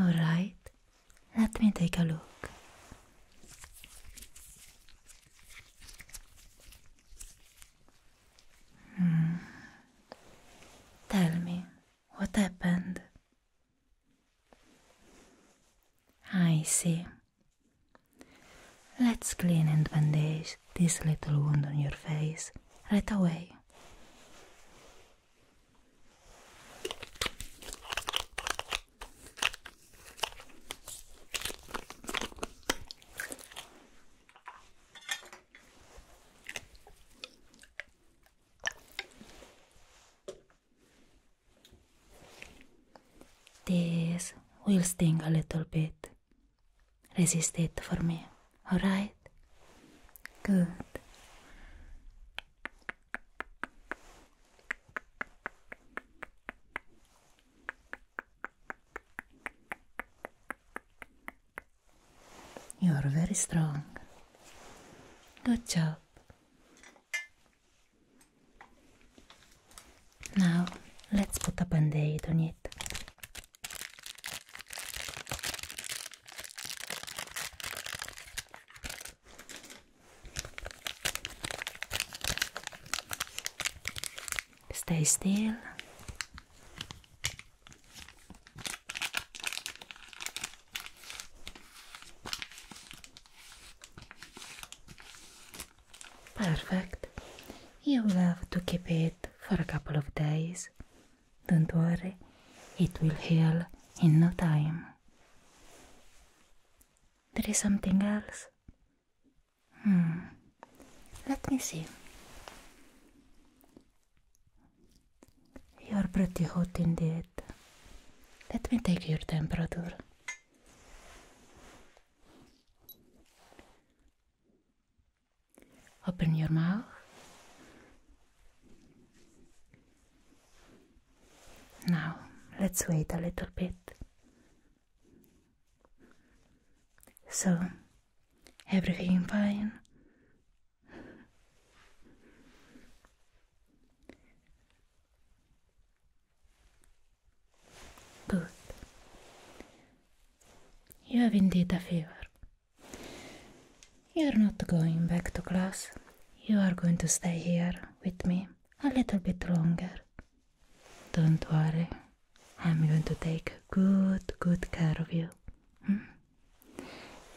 All right, let me take a look. Hmm. Tell me what happened. I see. Let's clean and bandage this little wound on your face right away. This will sting a little bit. Resist it for me, alright? Good. You are very strong. Good job. Now let's put a band on it. Stay still. Perfect. You'll have to keep it for a couple of days. Don't worry, it will heal in no time. There is something else? Hmm. Let me see. You're pretty hot indeed. Let me take your temperature. Open your mouth. Now, let's wait a little bit. So, everything fine? Good. You have indeed a fever. You're not going back to class. You are going to stay here with me a little bit longer. Don't worry. I'm going to take good, good care of you. Hmm?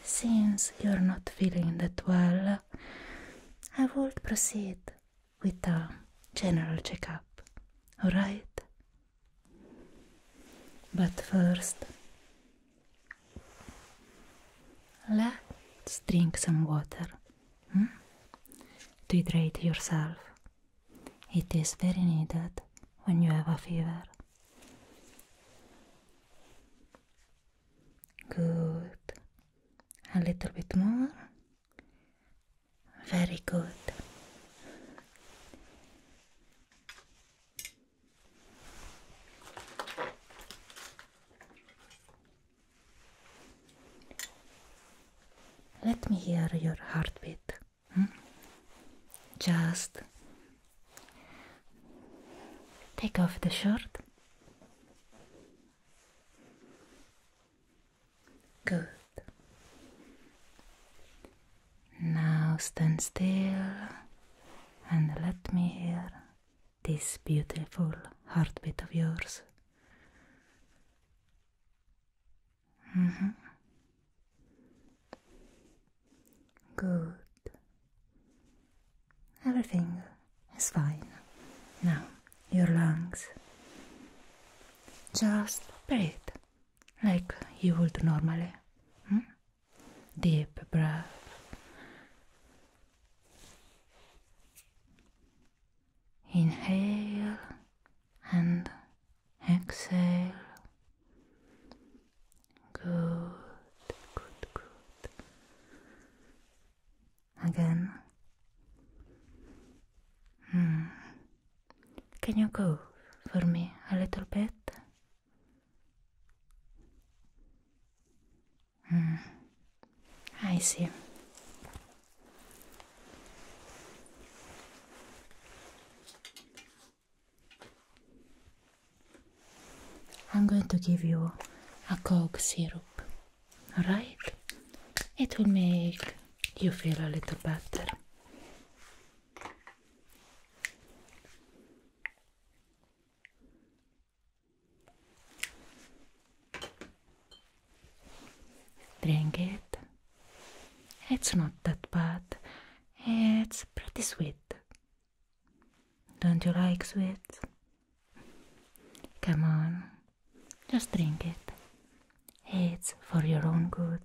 Since you're not feeling that well, I won't proceed with a general checkup, alright? But first, let's drink some water hmm? to hydrate yourself. It is very needed when you have a fever. Good. A little bit more. Very good. Let me hear your heartbeat. Hmm? Just take off the shirt. Good. Now stand still and let me hear this beautiful heartbeat of yours. Mm-hmm. Good. Everything is fine now. your lungs just breathe like you would normally hmm? deep breath inhale and exhale good good good again. Hmm. Can you go for me a little bit? Hmm. I see. I'm going to give you a Coke syrup right? It will make you feel a little better. Drink it. It's not that bad. It's pretty sweet. Don't you like sweet? Come on, just drink it. It's for your own good.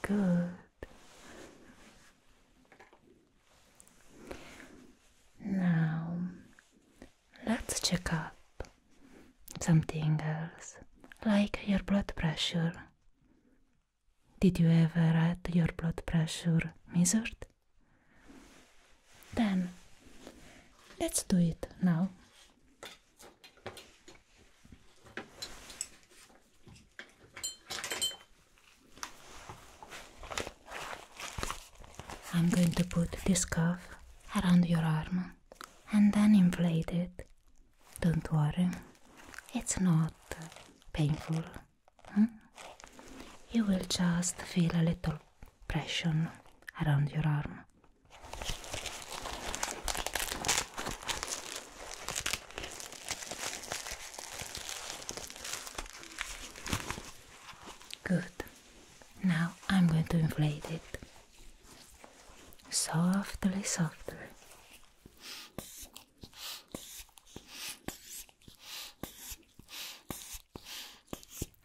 Good. Now, let's check up something else, like your blood pressure. Did you ever add your blood pressure measured? Then let's do it now. I'm going to put this cuff around your arm and then inflate it. Don't worry, it's not painful you will just feel a little pressure around your arm. Good. Now I'm going to inflate it softly, softly.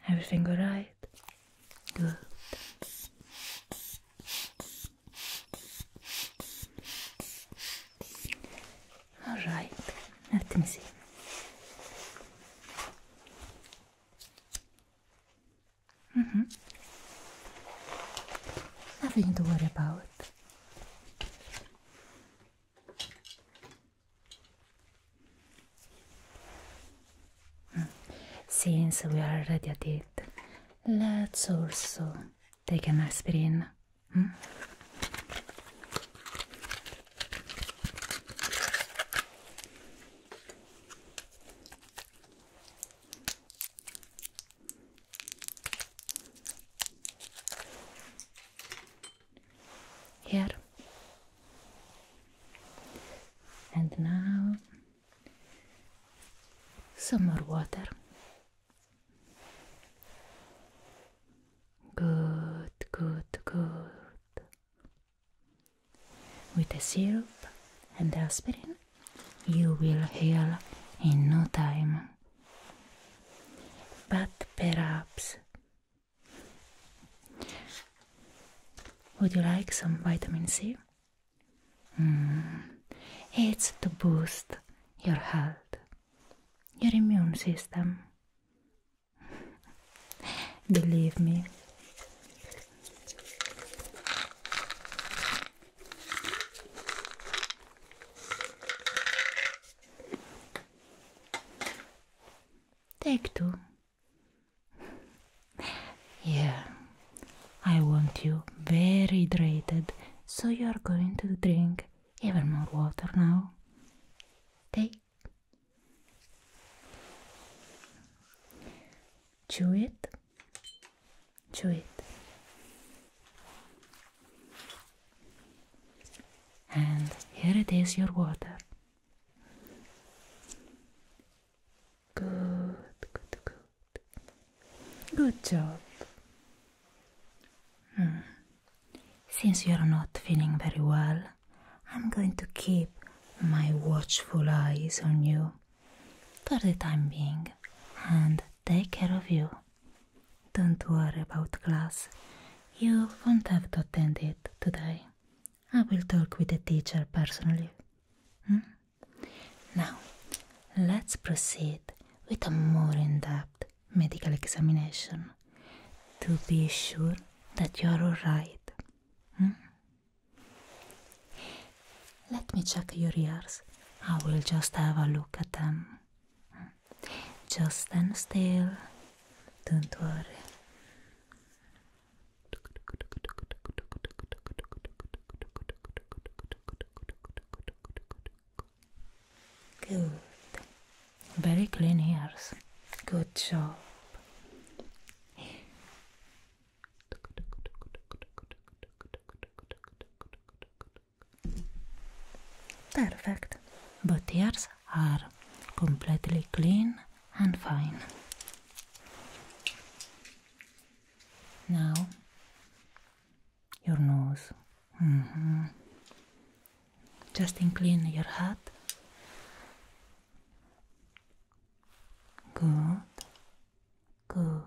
Everything alright? Good. Alright, let me see. Mm -hmm. Nothing to worry about. Since we are already at it, let's also take an aspirin. Hmm? here and now some more water. Good, good, good. With the syrup and the aspirin, you will heal in no time. But perhaps would you like some vitamin C? Hmm. It's to boost your health, your immune system. Believe me. Take two. Yeah, I want you very hydrated, so you are going to drink even more water now. Take. Chew it. Chew it. And here it is your water. Good, good, good. Good job. Hmm. Since you're not feeling very well, I'm going to keep my watchful eyes on you for the time being and take care of you. Don't worry about class. You won't have to attend it today. I will talk with the teacher personally. Hmm? Now, let's proceed with a more in depth medical examination to be sure that you are alright. Hmm? Let me check your ears. I will just have a look at them. Hmm? Just stand still. Don't worry. Good. Very clean ears. Good job. Perfect. Both ears are completely clean and fine. Now, your nose. Mm-hmm. Just incline your head. Good, good.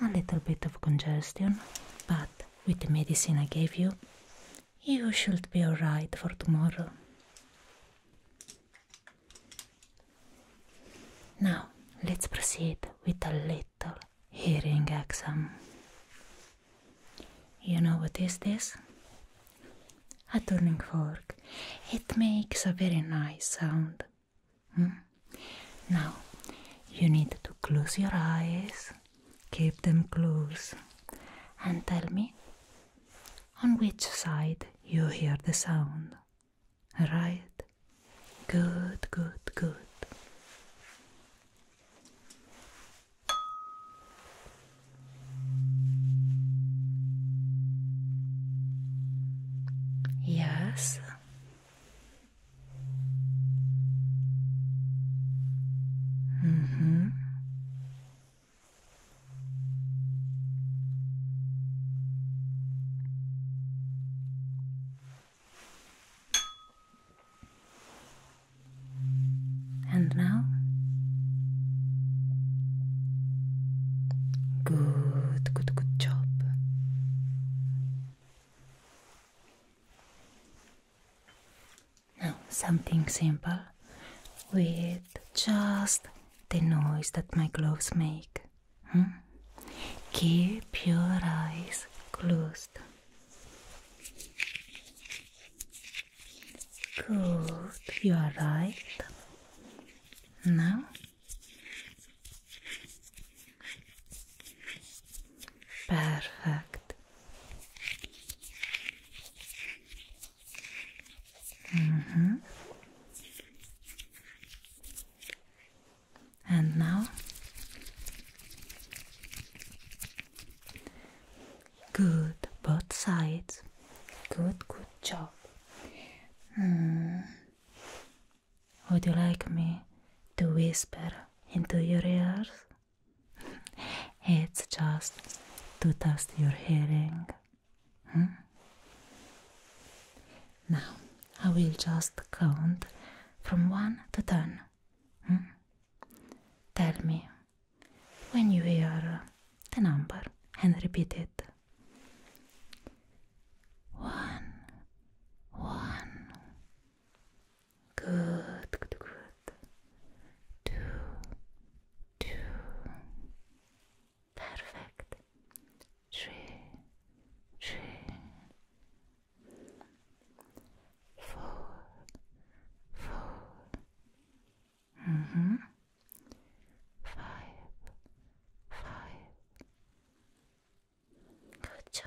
A little bit of congestion, but with the medicine I gave you, you should be alright for tomorrow. Now, let's proceed with a little hearing exam. You know what is this? A turning fork. It makes a very nice sound. Hmm? Now, you need to close your eyes Keep them close and tell me on which side you hear the sound. Right? Good, good, good. Yes hmm And now? Good, good, good job. Now, something simple with just the noise that my gloves make. Hmm? Keep your eyes closed. Good, you are right. Now, perfect. Mm -hmm. And now, good, both sides. Good, good job. Mm. Would you like me to whisper into your ears? it's just to test your hearing. Now I will just count from 1 to 10. Tell me when you hear the number and repeat it. One, one, Good, good, good. Two, two. Perfect. Three, three. Four, four. Mm-hmm. Five, five. Good job.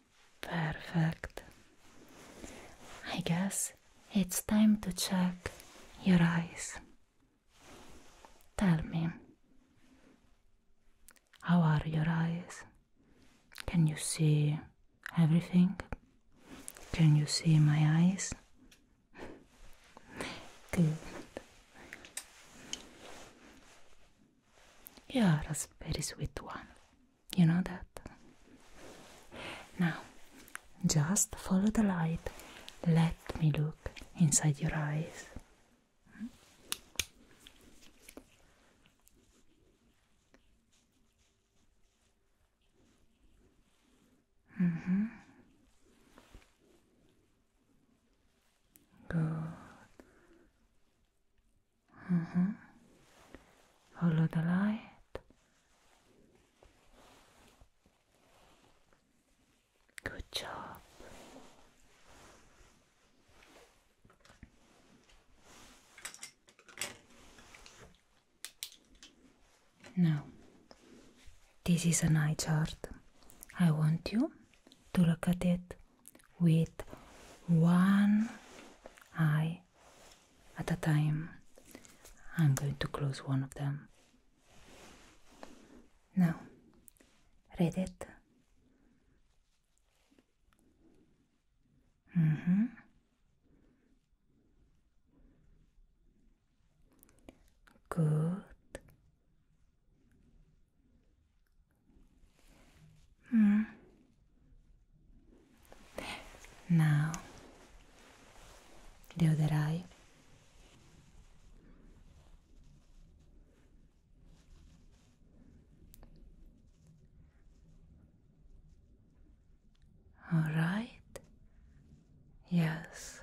Perfect. I guess it's time to check your eyes. Tell me, how are your eyes? Can you see everything? Can you see my eyes? Good. You are a very sweet one. You know that? Now, just follow the light. Let me look inside your eyes. -hmm. Good. Mm-hmm. Follow the light. Good job. Now, this is a night chart. I want you to look at it with one eye at a time. I'm going to close one of them. Now, read it. Mm -hmm. Good. Hmm. Now, the other eye. All right. Yes.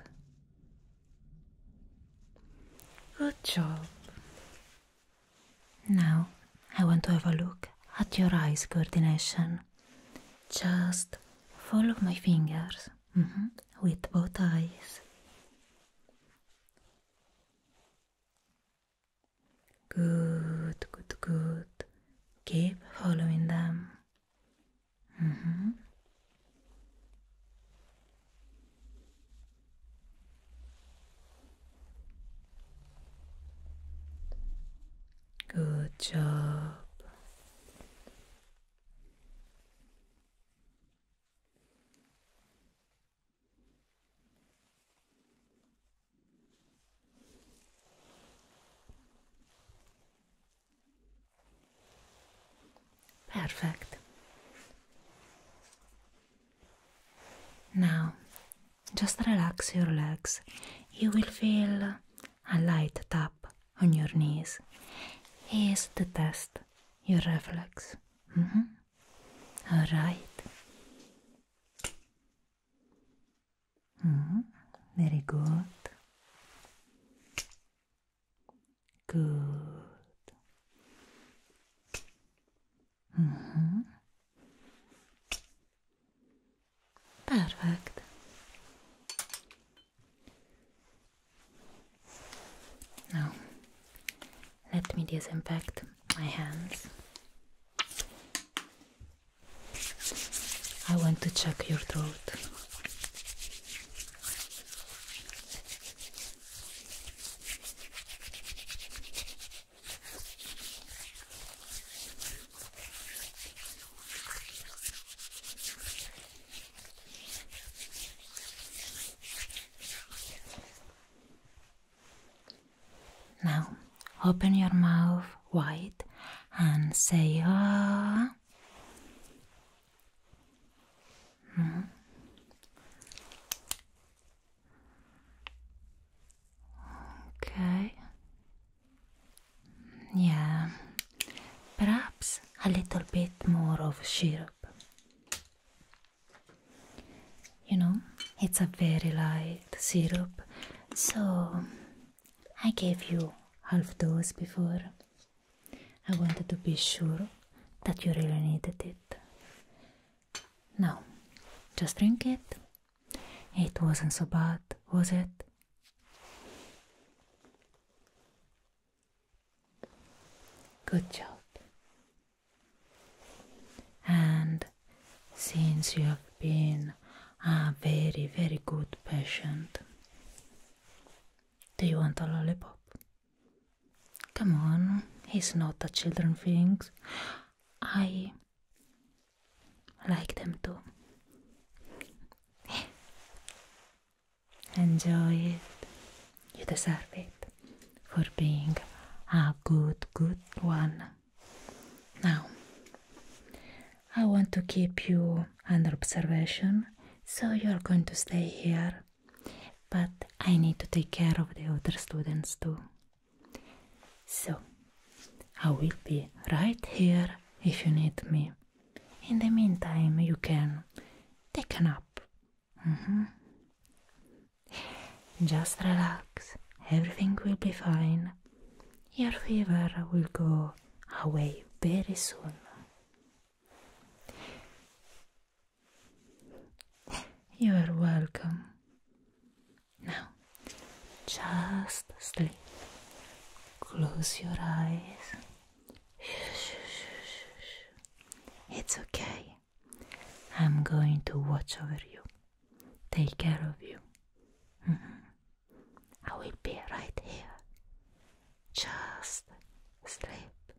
Good job. Now I want to have a look at your eyes coordination. Just follow my fingers mm-hmm. with both eyes. Good, good, good. Keep following them. Mm-hmm. Good job. Perfect. Now, just relax your legs. You will feel a light tap on your knees. Here's to test your reflex. Mm-hmm. All right. Mm-hmm. Very good. Good. Mm-hmm. Perfect. Now, let me disinfect my hands. I want to check your throat. Now, open your mouth wide and say ah. Hmm. Okay. Yeah. Perhaps a little bit more of syrup. You know, it's a very light syrup, so I gave you half dose before. I wanted to be sure that you really needed it. No, just drink it. It wasn't so bad, was it? Good job. And since you have been a very, very good patient, do you want a lollipop? Come on, it's not a children thing. I like them too. Enjoy it. You deserve it for being a good, good one. Now, I want to keep you under observation, so you're going to stay here but I need to take care of the other students too. So, I will be right here if you need me. In the meantime, you can take a nap. Mm-hmm. Just relax, everything will be fine. Your fever will go away very soon. You are welcome. Now, just sleep. Close your eyes. It's okay. I'm going to watch over you, take care of you. Mm-hmm. I will be right here. Just sleep.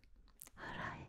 Alright.